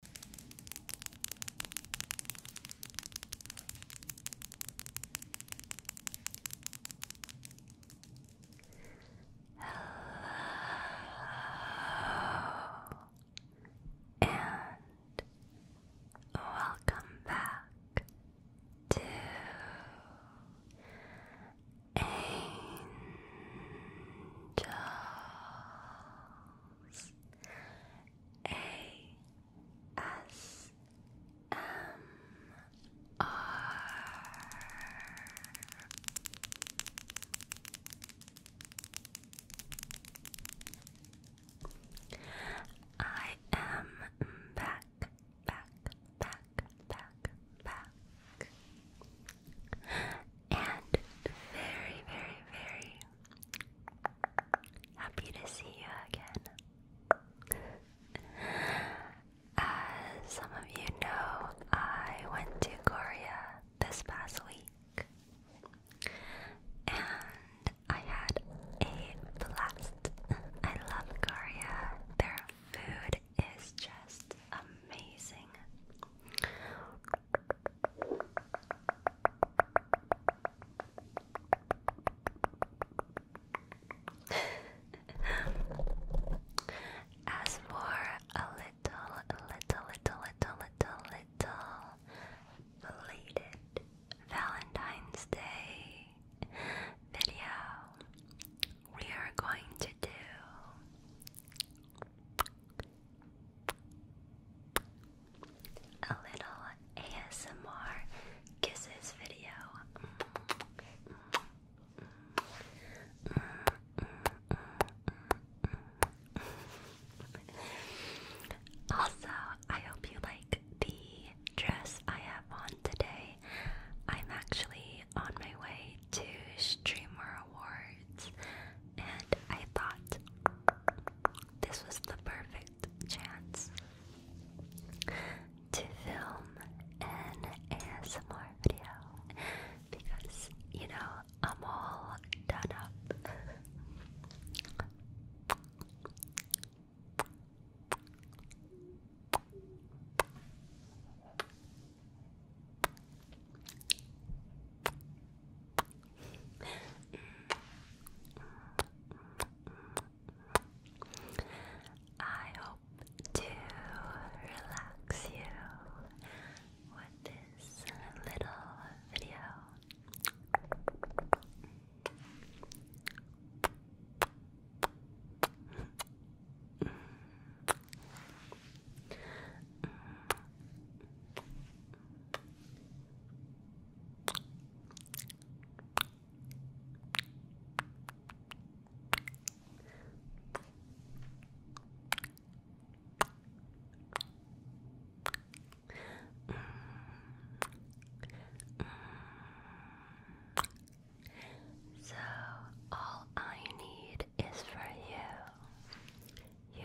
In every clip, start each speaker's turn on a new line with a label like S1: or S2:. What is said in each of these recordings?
S1: Hello and welcome back to Angel
S2: ASMR. am back,
S1: back, back, back, back, and very, very, very Happy to see you again. As uh, some of you know, I went to Korea this past week and I had a blast. I love Korea. Their food is just amazing. As for a little, little, little, little, little, little belated Valentine's Day video, we are going to do a little ASMR kisses video. Also, I hope you like the dress I have on today. I'm actually on my way to Streamer Awards words, and I thought this was the perfect chance to film an ASMR video because, you know, I'm all done up. I hope to relax you with this little video. So all I need is for you. You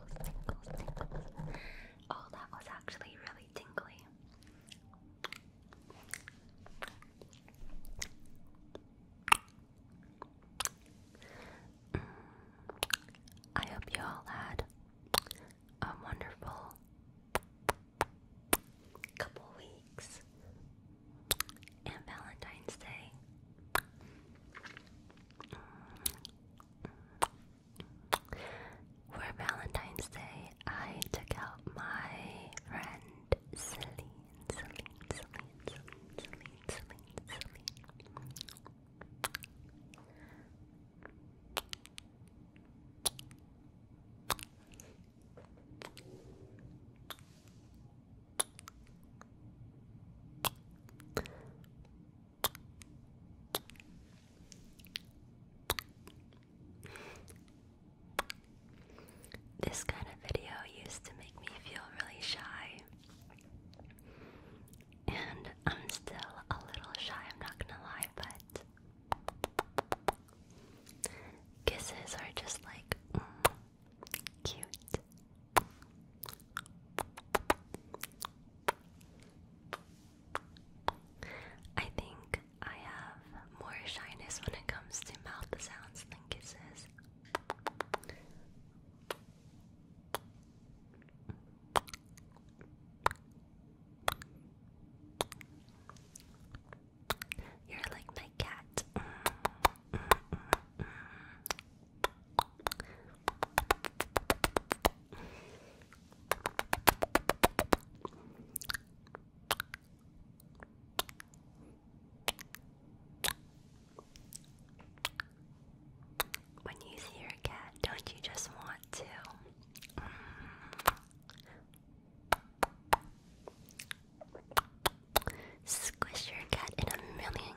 S1: Oh, that was actually really tingly. Mm. I hope you all had a wonderful couple weeks and Valentine's Day. For Valentine's Day, I took out my friend Celine, this kind of video used to make me feel really shy. And I'm still a little shy, I'm not gonna lie, but kisses are just like mm, cute. I think I have more shyness when it comes to mouth sounds than kisses. You're like my cat. Mm, mm, mm, when you see your cat, don't you just want to? Squish your cat in a million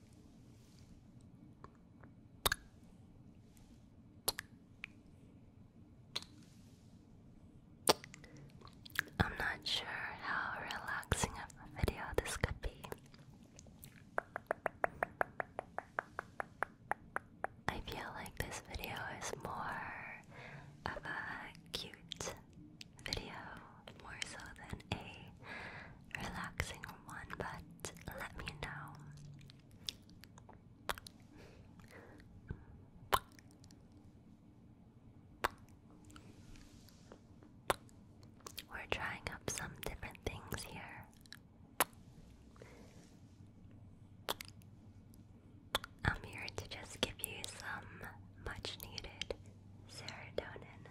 S1: I'm not sure how relaxing of a video this could be. I feel like this video is more of a cute video more so than a relaxing one, but let me know. We're trying up some different things here. I'm here to just give you some much needed serotonin.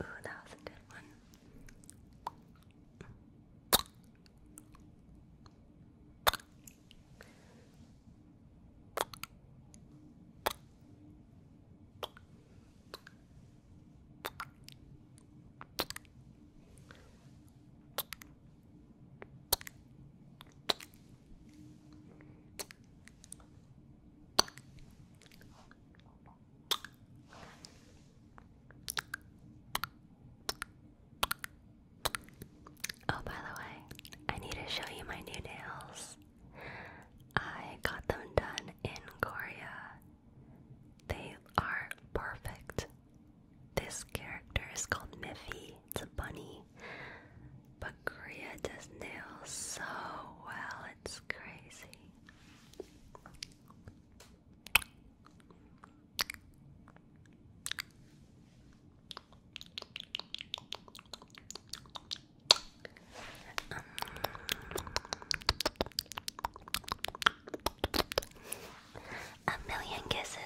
S1: Ooh, that was a good one. Oh, by the way, I need to show you my new nails. I got them done in Korea. They are perfect. This character is called Miffy. It's a bunny. But Korea does nails so well, it's crazy a million kisses.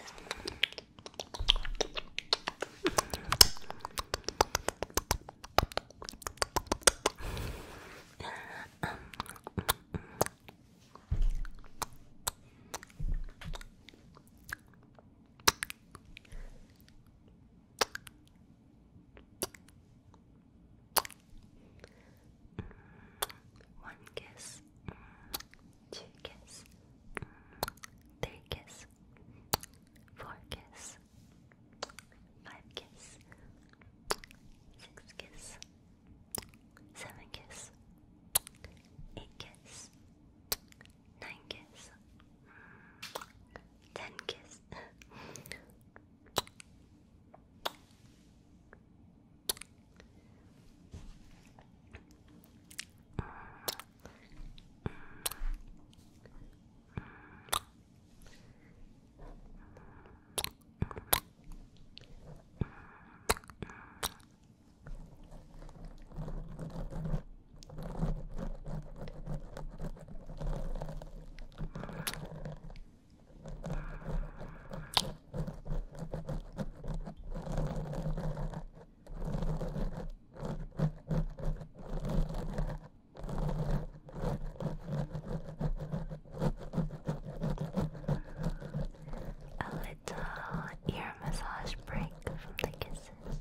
S1: One kiss, two kiss, three kiss, four kiss, five kiss, six kiss, seven kiss, eight kiss, nine kiss, ten kiss. A little ear massage break from the kisses.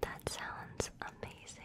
S1: That sounds amazing.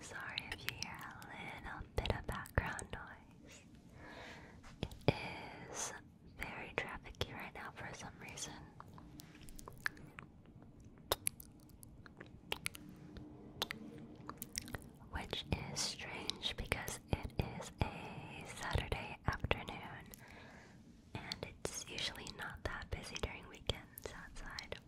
S1: Sorry if you hear a little bit of background noise. It is very trafficky right now for some reason. Which is strange because it is a Saturday afternoon and it's usually not that busy during weekends outside.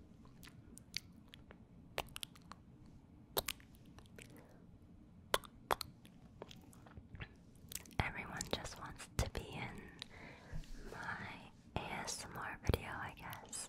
S1: Everyone just wants to be in my ASMR video, I guess.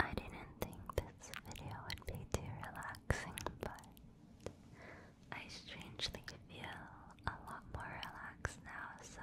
S1: I didn't think this video would be too relaxing, but I strangely feel a lot more relaxed now, so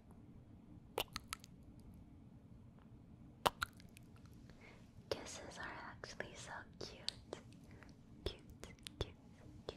S1: Kisses are actually so cute. Cute, cute, cute, cute, cute.